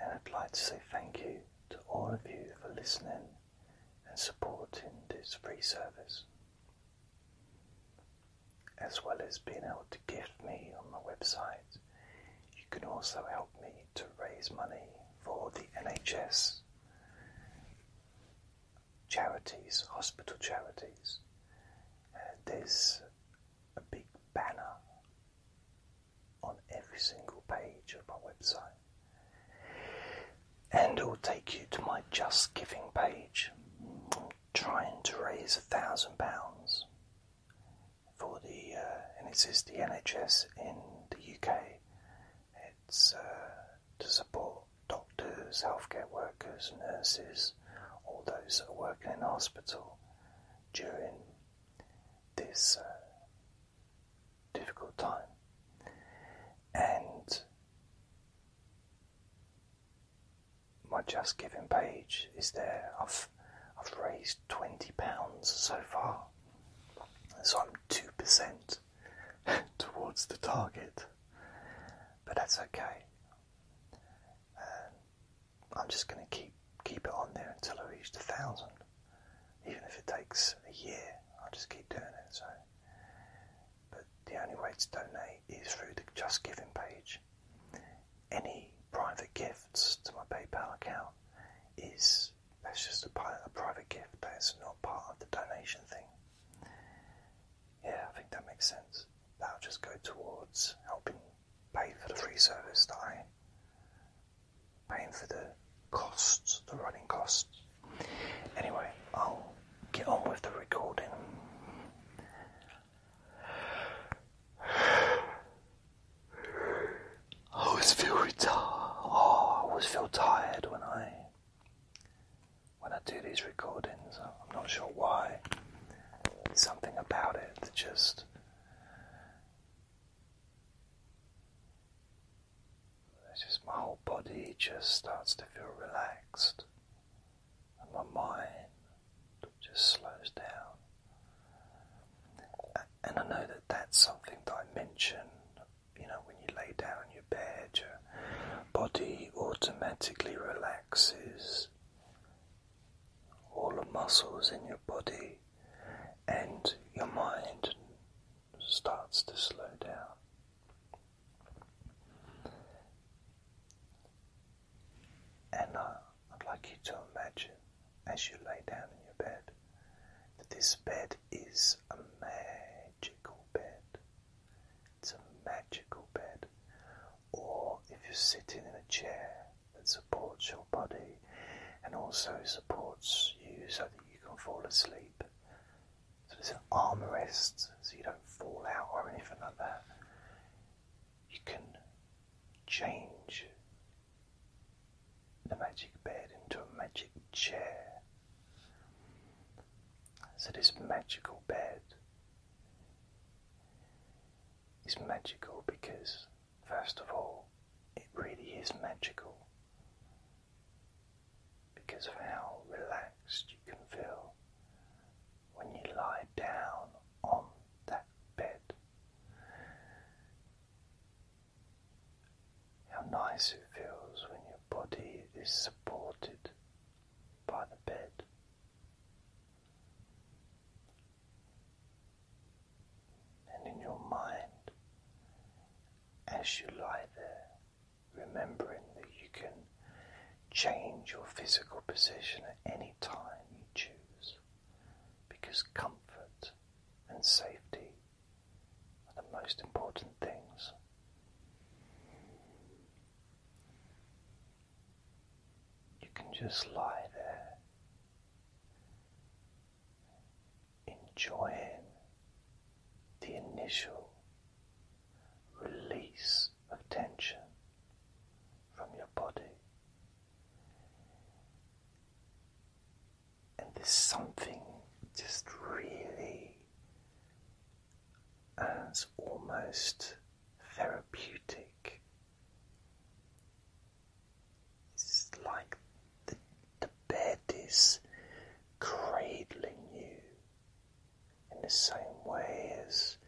and I'd like to say thank you to all of you for listening and supporting this free service, as well as being able to gift me on my website. You can also help me to raise money for the NHS charities, hospital charities, and there's a big banner on every single page of my website, and it will take you to my Just Giving page. trying to raise a thousand pounds for the, uh, and it says the NHS in the UK. It's uh, to support doctors, healthcare workers, nurses, all those that are working in hospital during this uh, difficult time. And my Just Giving page is there. I've, I've raised £20 so far, so I'm 2% towards the target. But that's okay. I'm just going to keep keep it on there until I reach a thousand, even if it takes a year. I'll just keep doing it. So, but the only way to donate is through the Just Giving page. Any private gifts to my PayPal account is that's just a, a private gift. That's not part of the donation thing. Yeah, I think that makes sense that'll just go towards helping pay for the free service that I paying for the costs, the running costs. Anyway, I'll get on with the recording. I always feel retired. Oh, I always feel tired when I when I do these recordings. I'm not sure why. something about it that just. It's just my whole body just starts to feel relaxed, and my mind just slows down. And I know that that's something that I mention, you know, when you lay down, your bed, your body automatically relaxes. All the muscles in your body and your mind starts to slow down. And I'd like you to imagine as you lay down in your bed that this bed is a magical bed. It's a magical bed. Or if you're sitting in a chair that supports your body and also supports you so that you can fall asleep. So there's an armrest so you don't fall out or anything like that. You can change the magic bed into a magic chair. So, this magical bed is magical because, first of all, it really is magical because of how relaxed you can feel when you lie down on that bed. How nice it feels when your body is supported by the bed. And in your mind, as you lie there, remembering that you can change your physical position at any time you choose, because comfort and safety are the most important things. You can just lie there, enjoying the initial release of tension from your body. And there's something just really as almost therapeutic. It's like the, the bed is cradling you in the same way as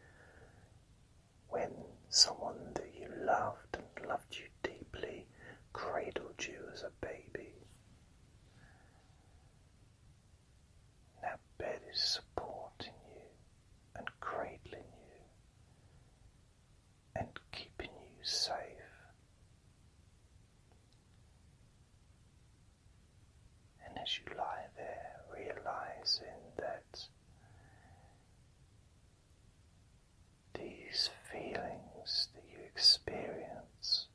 when someone that you loved and loved you deeply cradled you as a baby. That bed is supporting you and cradling you and keeping you safe. And as you lie there, realizing that these feelings that you experience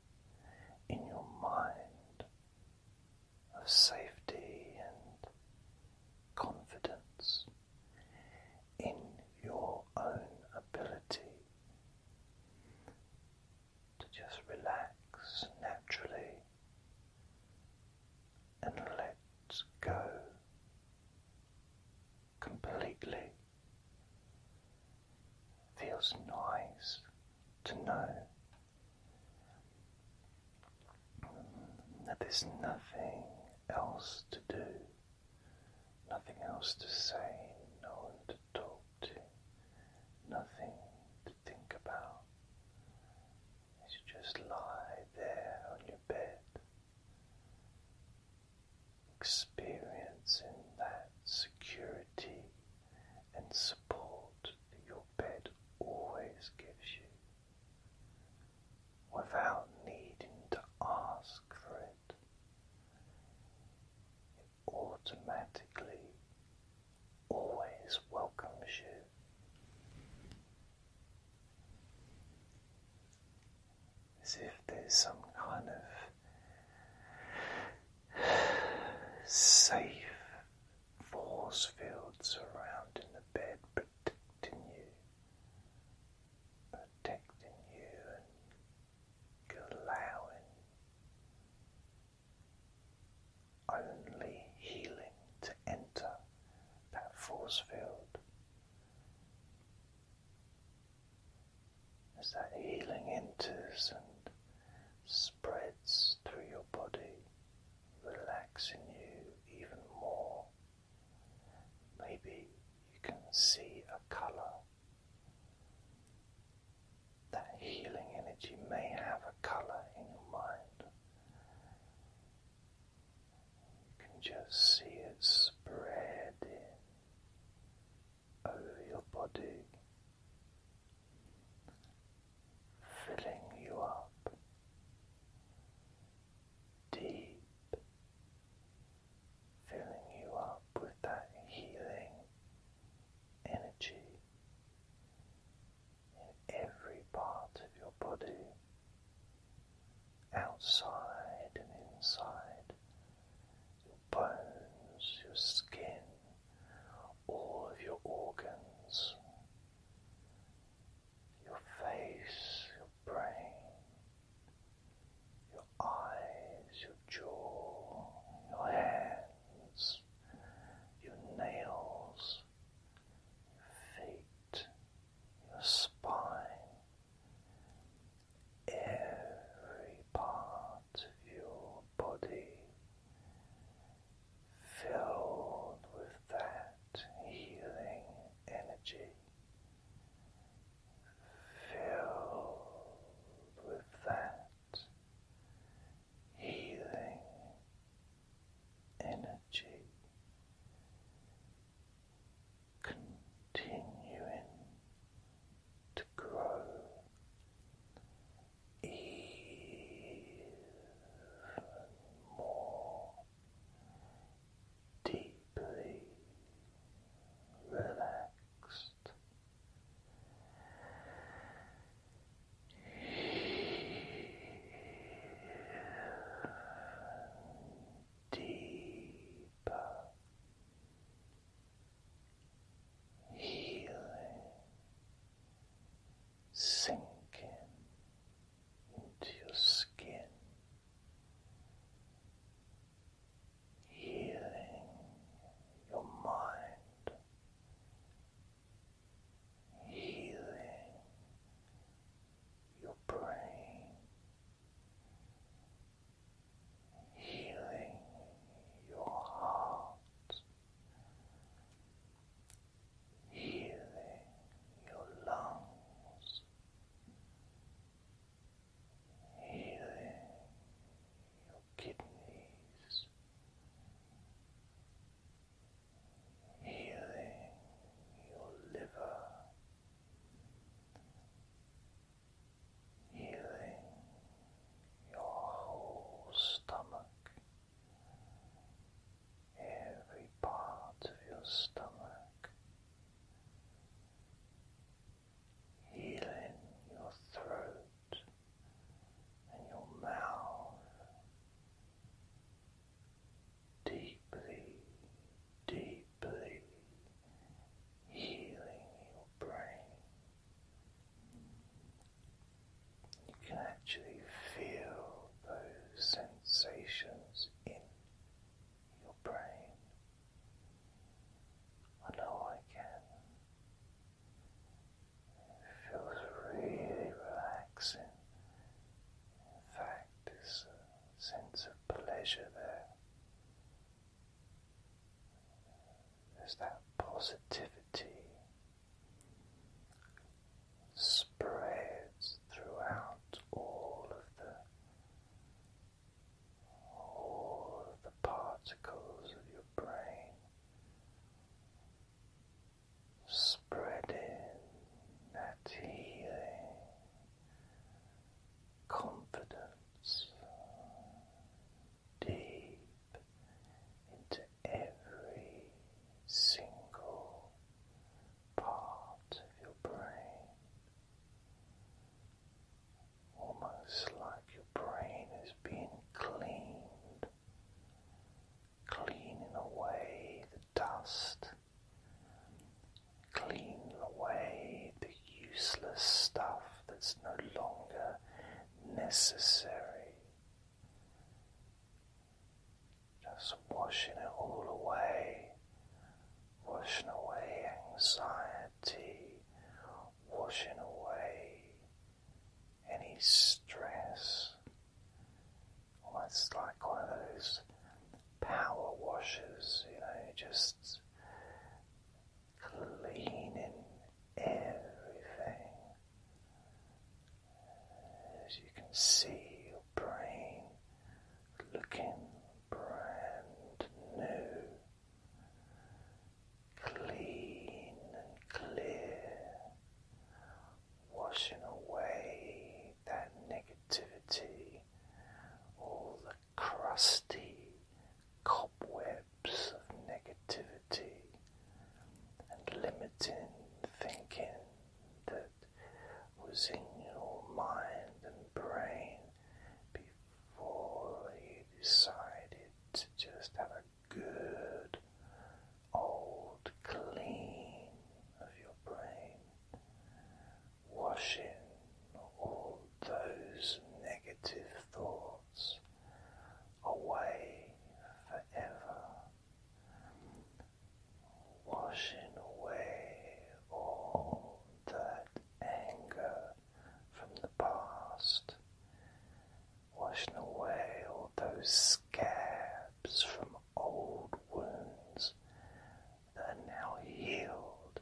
in your mind of safety and confidence in your own ability to just relax naturally and let go completely Feels nice to know that there's nothing else to do, nothing else to say, no one to talk to, nothing to think about. You just lie there on your bed, experiencing that security and support that your bed always gives you without needing to ask for it. It automatically always welcomes you. As if there's some kind of safe force fields surrounding the bed, protecting you, protecting you, and allowing only healing to enter that force field as that healing enters and spreads through your body, relaxing you even more. Maybe you can see a colour. That healing energy may have a colour in your mind. You can just see it spreading over your body, filling you up deep, filling you up with that healing energy in every part of your body, outside and inside your bones, your skin, all of your organs, your face, your brain, your eyes, your jaw, your hands, your nails, your feet, your spine, every part of your body filled with that healing energy, filled with that healing energy. Continuing to grow even more deeply relaxed. Deeper healing sinking into your skin, healing your mind, healing your brain healing your heart, healing your lungs, healing your kidneys, healing your liver healing your whole stomach, every part of your stomach, healing your throat and your mouth. Deeply, deeply deeply healing your brain. You can actually feel those sensations in your brain. I know I can. It feels really relaxing. In fact, this sense of pleasure there. There's that positivity spreads throughout all of the all of the particles of your brain spreading that healing confidence deep into every single part of your brain, almost like your brain is being cleaned, cleaning away the dust clean away the useless stuff that's no longer necessary. Just washing it all away, washing away anxiety, washing away any stress. Almost like one of those power washers, you know, just cleaning everything. As you can see, your brain looking brand new, clean and clear, washing away that negativity, all the crusty cobwebs of negativity and limiting thinking that was in your mind and brain before you decided to just have a good old clean of your brain washing all those negative thoughts away forever, washing away all that anger from the past, washing away all those scabs from old wounds that are now healed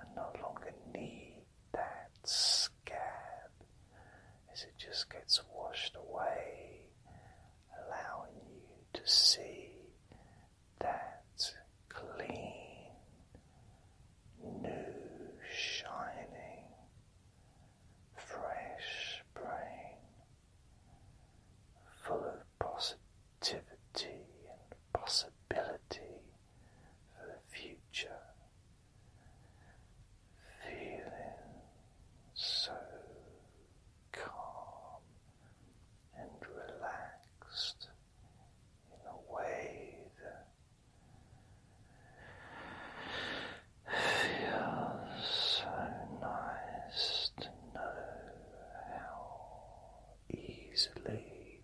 and no longer need that scar, as it just gets washed away, allowing you to see that clean, new, shining, fresh brain full of possibilities. Activity and possibility for the future. Feeling so calm and relaxed in a way that feels so nice to know how easily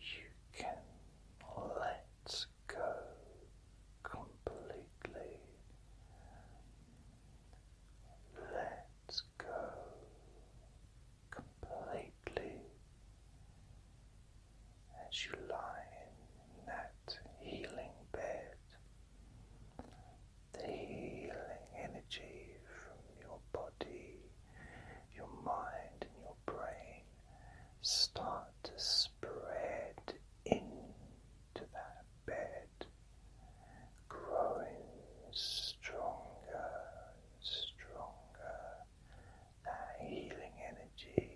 you can let go completely. Let go completely as you lie in that healing bed the healing energy from your body, your mind, and your brain start to spread into that bed, growing stronger and stronger. That healing energy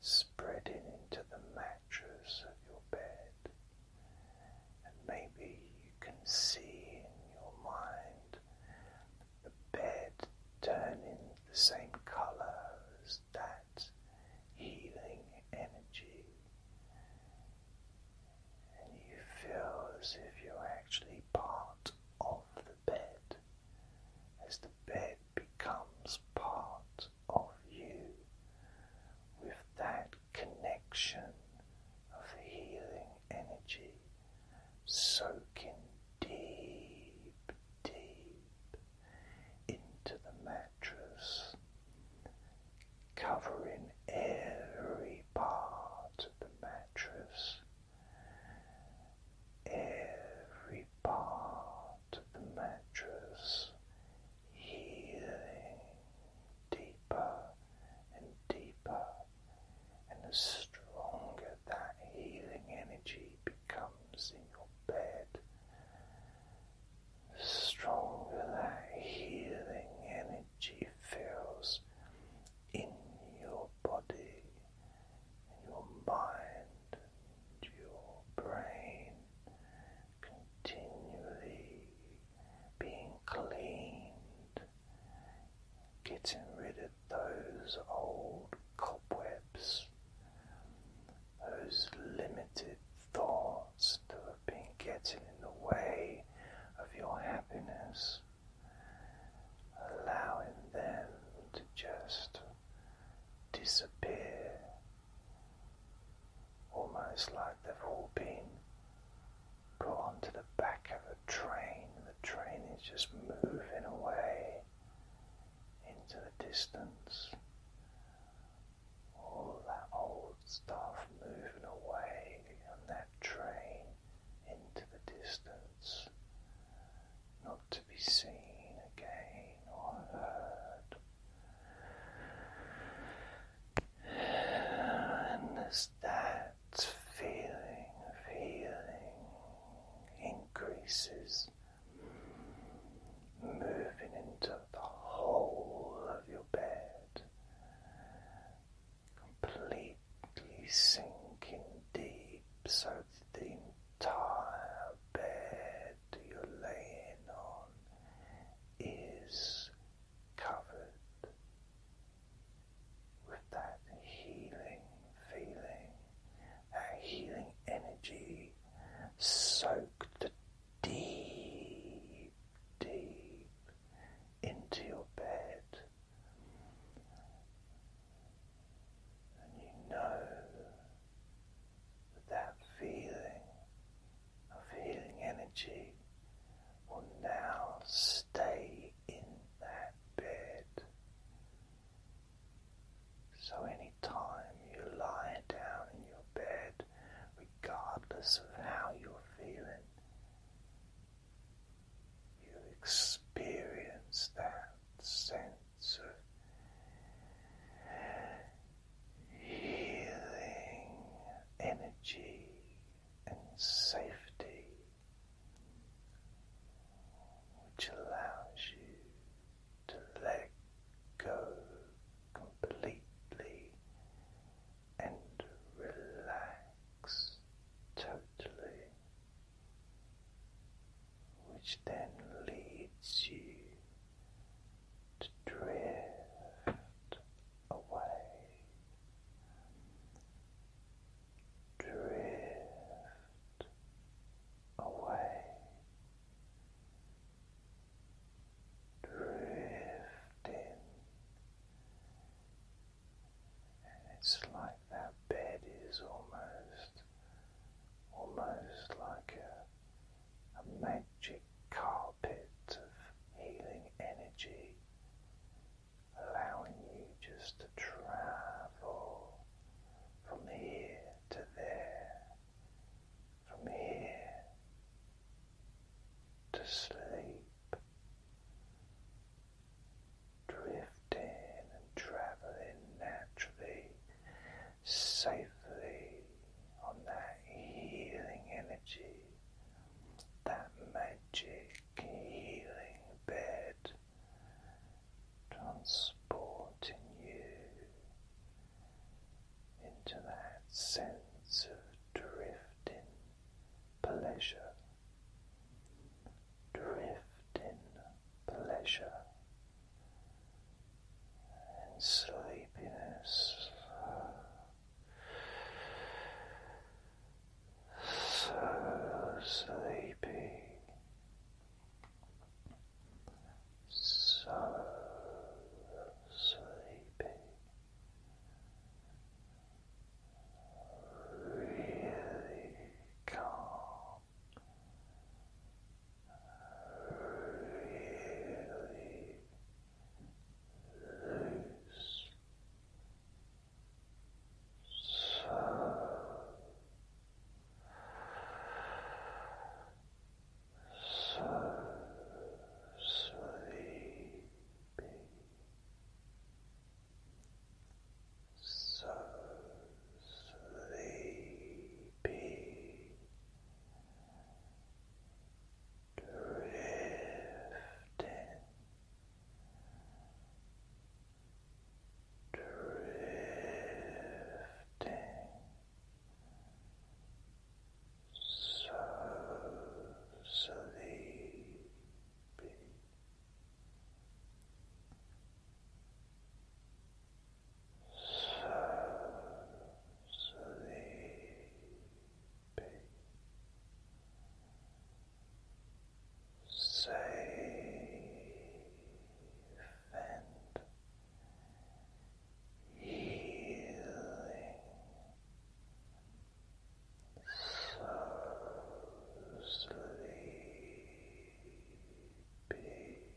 spreading into the mattress of your bed and maybe you can see in your mind the bed turning the same colours that healing energy, and you feel as if you're actually part of the bed as the bed becomes part of you with that connection of healing energy soaking deep, deep into the mattress, covering every part of the mattress, every part of the mattress healing deeper and deeper, and the stronger that healing energy becomes in your bed, stronger that healing energy feels in your body, in your mind, in your brain, continually being cleaned, getting rid of those old cobwebs, those limited thoughts that have been getting in the way of your happiness, allowing them to just disappear almost like they've all been put onto the back of a train. The train is just moving away into the distance. All that old stuff moving away on that train into the distance, not to be seen again or heard. And as that feeling of increases, moving into the whole of your bed, completely sinking deep so the entire bed you're laying on is covered with that healing feeling, that healing energy soaked deep, deep into your bed. And you know that that feeling of healing energy will now stay in that bed. So, any time you lie down in your bed, regardless of how you're feeling, you experience that sense of healing energy and safety, which allows you to let go completely and relax totally, which then leads you to drift away, drift away, drifting, and it's like that bed is almost, almost like a a magic carpet of healing energy, allowing you just to travel from here to there, from here to sleep, drifting and traveling naturally safely on that healing energy, that magic healing bed, transporting you into that sense of drifting pleasure, drifting pleasure and sleepiness so sleepy so sleepy really calm really loose. So so sleepy, so sleepy, drifting, drifting so so sleepy, safe and healing, so sleepy.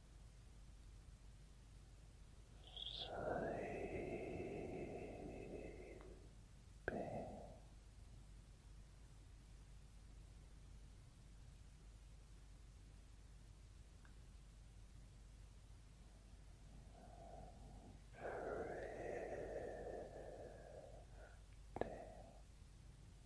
sleeping. Drifting.